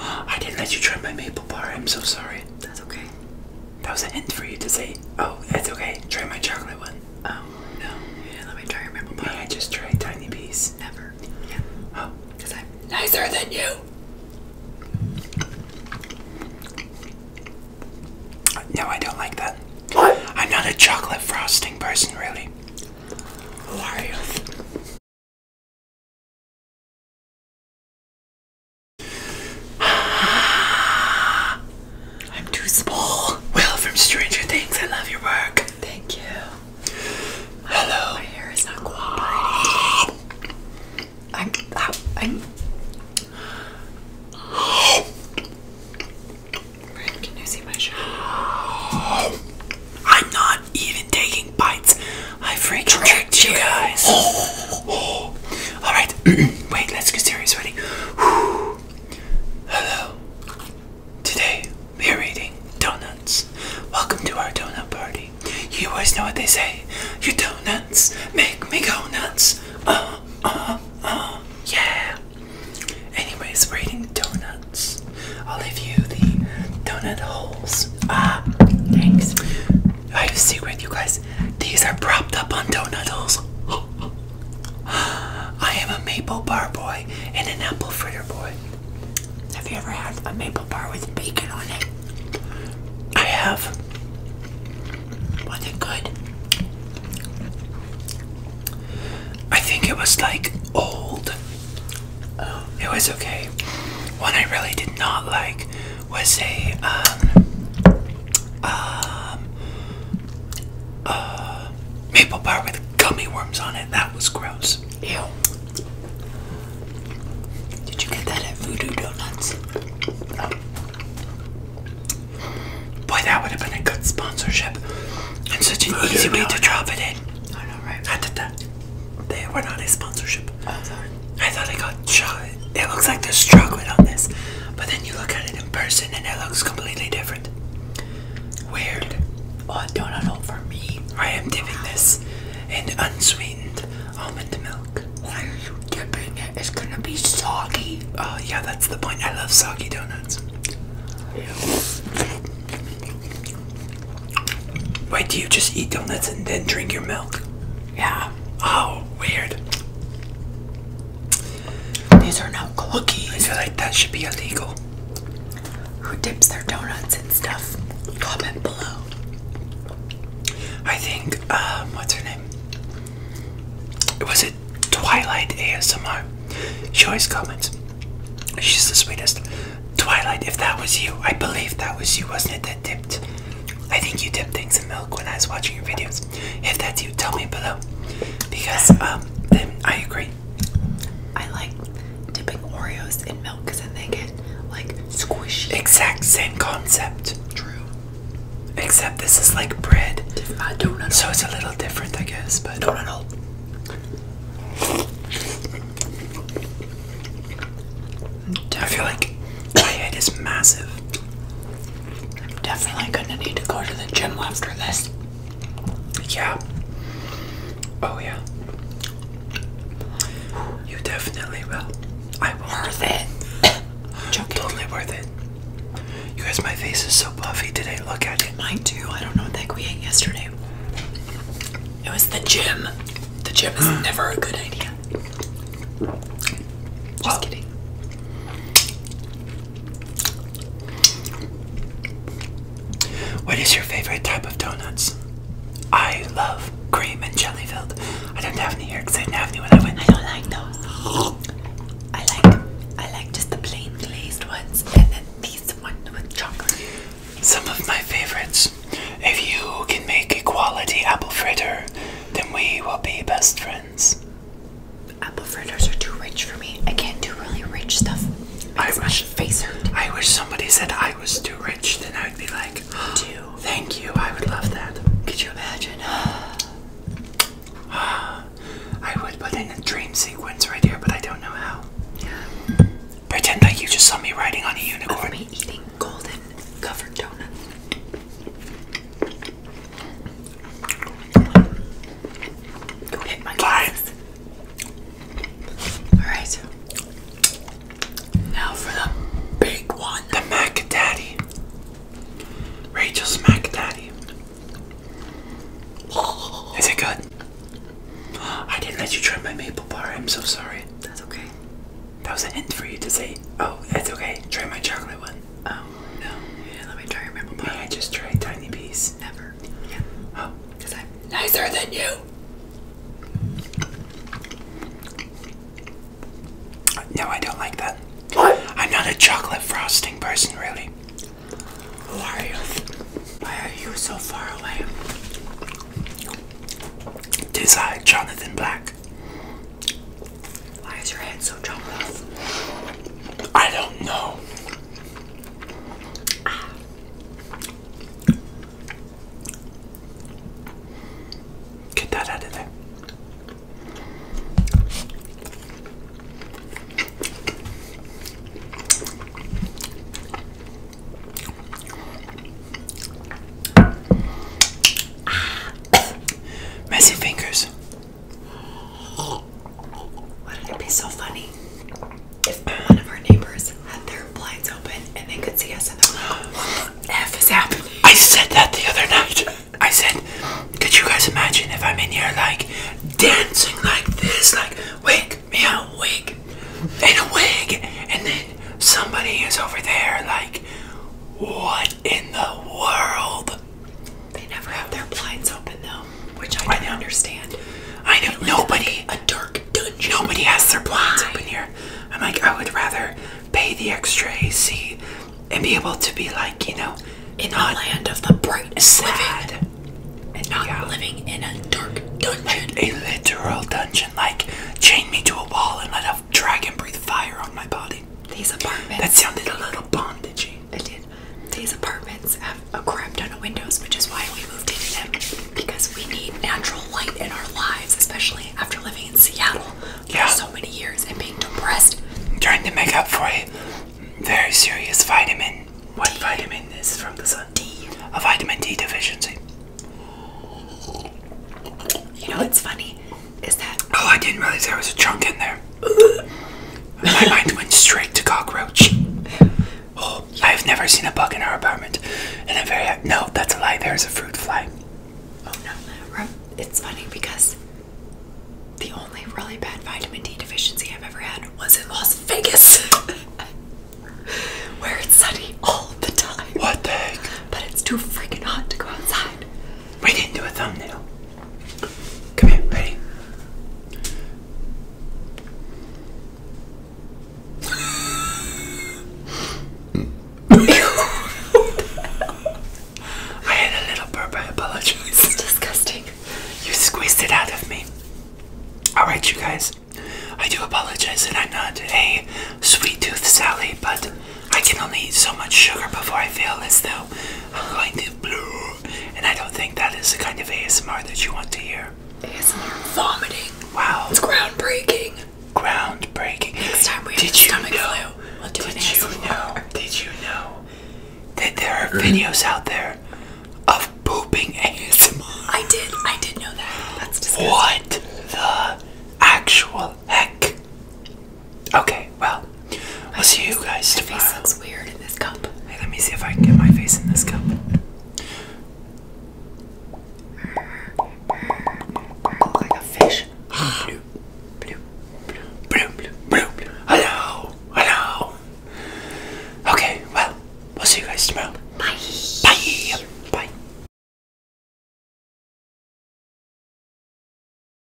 I didn't let you try my maple bar. I'm so sorry. That's okay. That was a hint for you to say, "Oh, that's okay. Try my chocolate one." Oh no! let me try your maple bar. I just tried a tiny piece? Never. Oh. Yeah. Oh, because I'm nicer than you. No, I don't like that. What? I'm not a chocolate frosting person, really. Who are you? I'm too small. Will from Stranger Things, I love your work. Thank you. Hello. My hair is not cooperating I'm. I'm. Right, can you see my shirt? I'm not even taking bites. I freaked you guys. Oh, All right, wait. Let's get serious. Ready? Hello. Today we're eating donuts. Welcome to our donut party. You always know what they say. Your donuts make me go nuts. Uh, uh, uh. Yeah. Anyways, we're eating donuts. I'll leave you the donut holes. Ah, thanks. I have a secret, you guys. These are propped up on donut holes. I am a maple bar boy and an apple fritter boy. Have you ever had a maple bar with bacon on it? I have. Was it good? I think it was like old. Um, it was okay. One I really did not like was a um, um, uh, maple bar with gummy worms on it. That was gross. Ew. Did you get that at Voodoo Donuts? Boy, that would have been a good sponsorship and such an easy way to drop it in. I know, right? I that. They were not a sponsorship. Oh, I thought I got chocolate. It looks like there's chocolate on this, but then you look at it in person and it looks completely different. Weird. Oh, donut hole for me. I am dipping this in unsweetened almond milk. Why are you dipping it? It's gonna be soggy. Oh, yeah, that's the point. I love soggy donuts. Why do you just eat donuts and then drink your milk? Yeah. Oh, weird. These are no cookies. I feel like that should be illegal. Who dips their donuts and stuff? Comment below. I think, um, what's her name? It was Twilight ASMR? choice comments. She's the sweetest. Twilight, if that was you, I believe that was you, wasn't it, that dipped? I think you dipped things in milk when I was watching your videos. If that's you, tell me below. Because um, I agree. I like dipping Oreos in milk because then they get like squishy. Exact same concept. True. Except this is like bread. Different uh, donut. So it's a little different, I guess, but donut I feel like my head is massive. I'm definitely gonna need to go to the gym after this. Yeah. Oh yeah. You definitely will. I am Worth it. Joking. Totally worth it. You guys, my face is so puffy today. Look at it. Mine too. I don't know what the heck we ate yesterday. It was the gym. The gym is mm. never a good idea. Just kidding. What is your favorite type of donuts? I love cream and jelly filled. I don't have New York, because I do not have any when I went. I don't like those. I like I like just the plain glazed ones and then these ones with chocolate. Some of my favorites. If you can make a quality apple fritter, then we will be best friends. Apple fritters are too rich for me. I can't do really rich stuff. I wish my face hurt. I wish somebody said I was too rich, then I would be like too Thank you. I would love that. Could you imagine? I would put in a dream sequence right here, but I don't know how. Yeah. Pretend like you just saw me riding on a unicorn. Of me eating golden covered donuts. Don't my glass. All right. Now for the big one. The Mac Daddy. Rachel's Mac Daddy. Is it good? I didn't let you try my maple bar. I'm so sorry. That's okay. That was a hint for you to say, oh, that's okay. Try my chocolate one. Oh, no. let me try your maple bar. I just try a tiny piece? Never. Yeah. Oh. Because I'm nicer than you. No, I don't like that. What? I'm not a chocolate frosting person, really. Who are you? Why are you so far away? This I, Jonathan Black. Why is your head so chopped off? I don't know. Ah. Get that out of there. Messy fingers. Why did it be so funny? if one of our neighbors had their blinds open and they could see us in the F is happening? I said that the other night. I said, could you guys imagine if I'm in here like dancing like this, like wig, me out, wig, in a wig, and then somebody is over there like, what in the world? They never have their blinds open though which I don't understand. I know nobody a dark dungeon. Nobody has their up in here. I'm like, I would rather pay the extra AC and be able to be like, you know, in the land of the bright and sad. living, and not living in a dark dungeon, like a literal dungeon. Like, chain me to a wall and let a dragon breathe fire on my body. These apartments. That sounded a little bondagey. It did. These apartments have a crap ton of windows, which is why we moved into them because we need natural light in our lives, especially after living in Seattle for so many years and being depressed. trying to make up for it, very serious vitamin. What vitamin is from the sun? D. A vitamin D deficiency. You know what's funny is that. Oh, I didn't realize there was a chunk in there. My mind went straight to cockroach. Oh, I've never seen a bug in our apartment. And I'm very No, that's a lie. There's a fruit fly. Oh, no. It's funny because the only really bad vitamin D deficiency I've ever had was in Las Vegas, where it's sunny all the time. What the But it's too freaking hot to go outside. We didn't do a thumbnail. Come here, ready? I had a little burp, I apologize. It's disgusting. You squeezed it out of me. Alright, you guys. I do apologize that I'm not a sweet tooth Sally, but I can only eat so much sugar before I feel as though I'm going to blow and I don't think that is the kind of ASMR that you want to hear. ASMR vomiting. Wow. It's groundbreaking. Groundbreaking. Next time we have did you know, we'll do did an ASMR. You know, did you know that there are videos out there of pooping ASMR? I did. I did know that. That's disgusting. What the actual heck? Okay, well, i will see you guys tomorrow. My face looks weird in this cup. Hey, let me see if I can get my face in this cup. like a fish. Blue, blue, blue, blue, blue, blue. Hello, hello. Okay, well, we'll see you guys tomorrow. Bye. Bye. Bye.